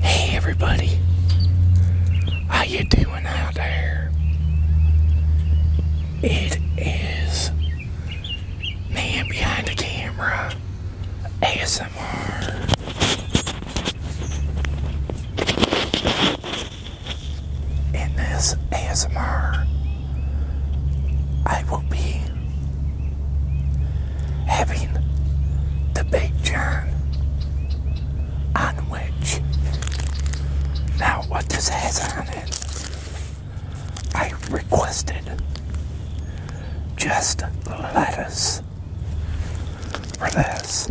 Hey everybody, how you doing out there? It is Man behind the camera. ASMR. In this ASMR, I will be having the Big John Now, what this has on it I requested just lettuce for this.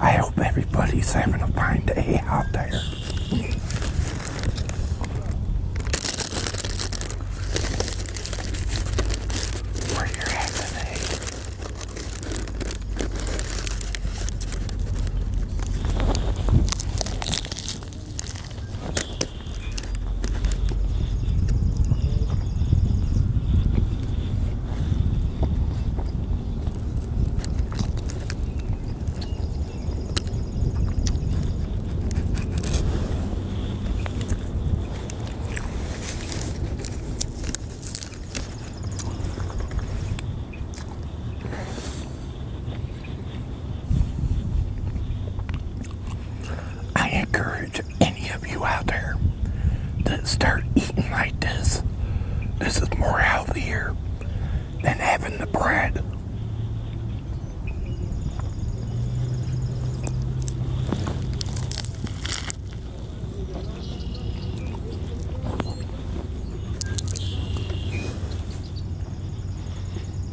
I hope everybody's having a fine day out there. I encourage any of you out there that start eating like this. This is more healthier than having the bread.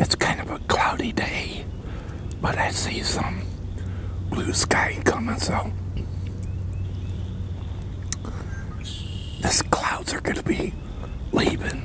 It's kind of a cloudy day, but I see some blue sky coming, so these clouds are going to be leaving.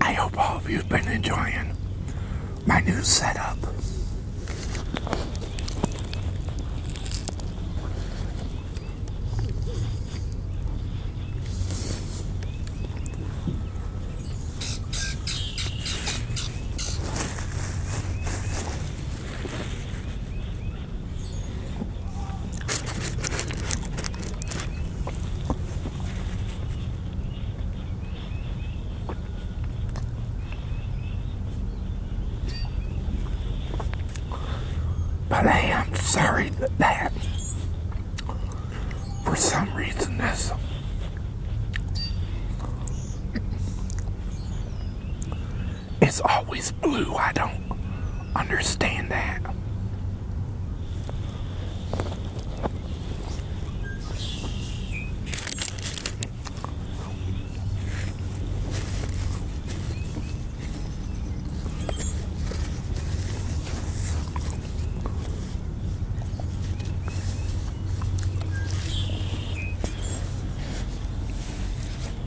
I hope all of you've been enjoying my new setup. But I am sorry that for some reason, this it's always blue. I don't understand that.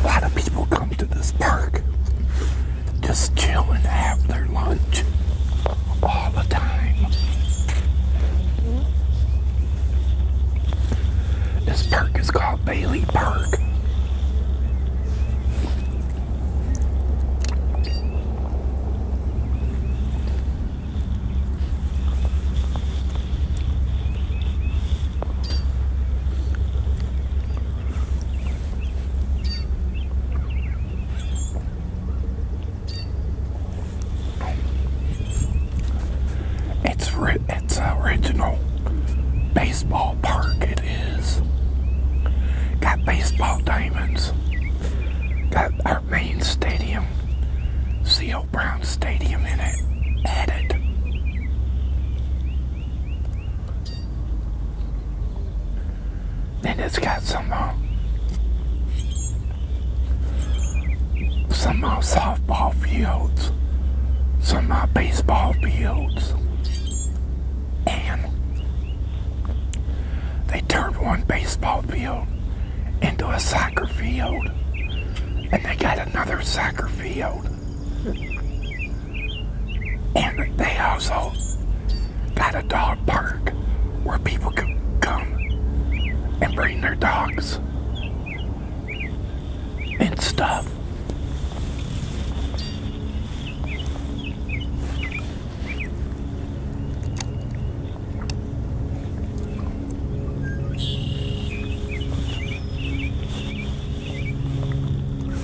A lot of people come to this park just chilling, and their lunch all the time. This park is called Bailey Park. It's it's original baseball park. It is got baseball diamonds. Got our main stadium, C.O. Brown Stadium, in it added. And it's got some some, uh, some uh, softball fields, some uh, baseball fields, and they turned one baseball field into a soccer field, and they got another soccer field. And they also got a dog park where people can come and bring their dogs and stuff.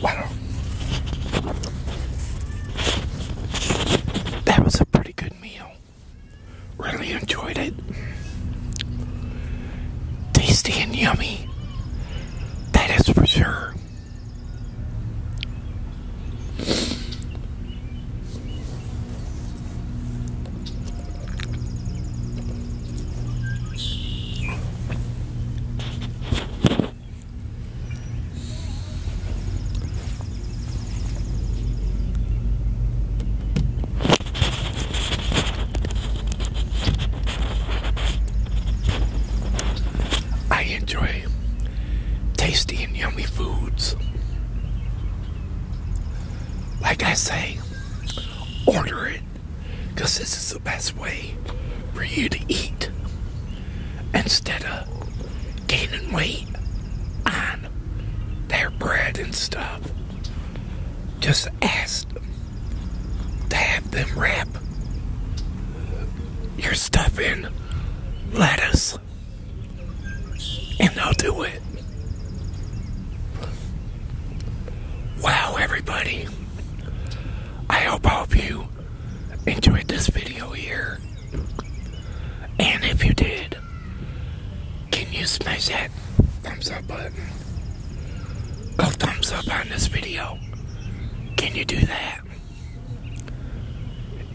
Wow. That was a pretty good meal. Really enjoyed it. Tasty and yummy. That is for sure. I enjoy tasty and yummy foods. Like I say, order it because this is the best way for you to eat instead of gaining weight on their bread and stuff. Just ask them to have them wrap your stuff in lettuce and i will do it. Wow, everybody. I hope all of you enjoyed this video here. And if you did, can you smash that thumbs up button? Go thumbs up on this video. Can you do that?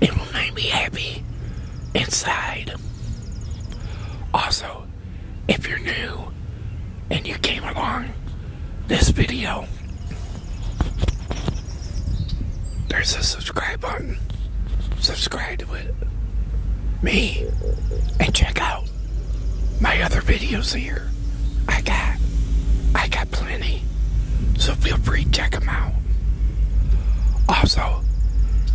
It will make me happy inside. Also, if you're new, and you came along this video, there's a subscribe button. Subscribe to it. Me. And check out my other videos here. I got, I got plenty. So feel free to check them out. Also,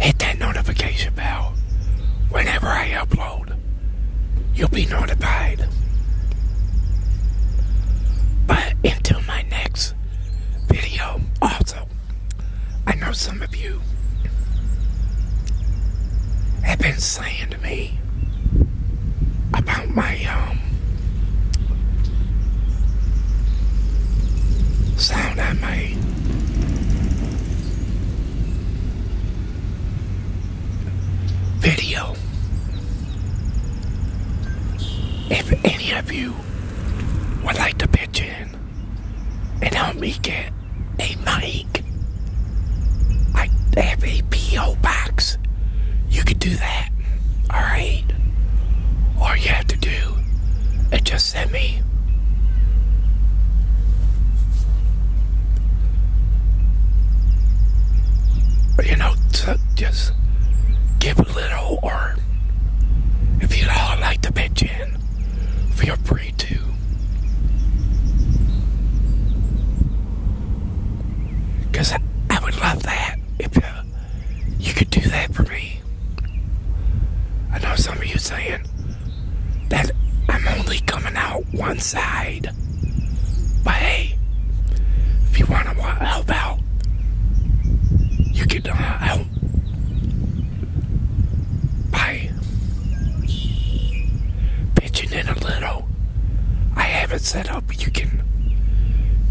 hit that notification bell whenever I upload you'll be notified. But until my next video, also, I know some of you have been saying to me about my um sound I made. Video. If any of you would like to pitch in and help me get a mic, I have a P.O. box. You could do that, alright? All you have to do is just send me you know, just give a little, or if you'd all like to pitch in, feel free to. Because I, would love that if uh, you could do that for me. I know some of you saying that I'm only coming out one side. But hey, if you want to help out, you can uh, help. By pitching in a little. I have it set up, you can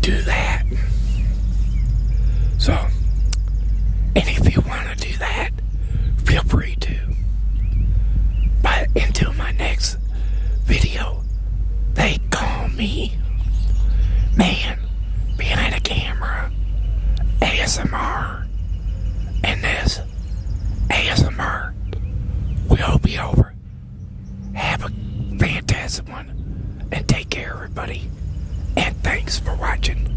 do that. So, and if you want to do that, feel free to. But until my next video. They call me man behind a camera ASMR. And this ASMR will be over. Have a fantastic one. And take care, everybody. And thanks for watching.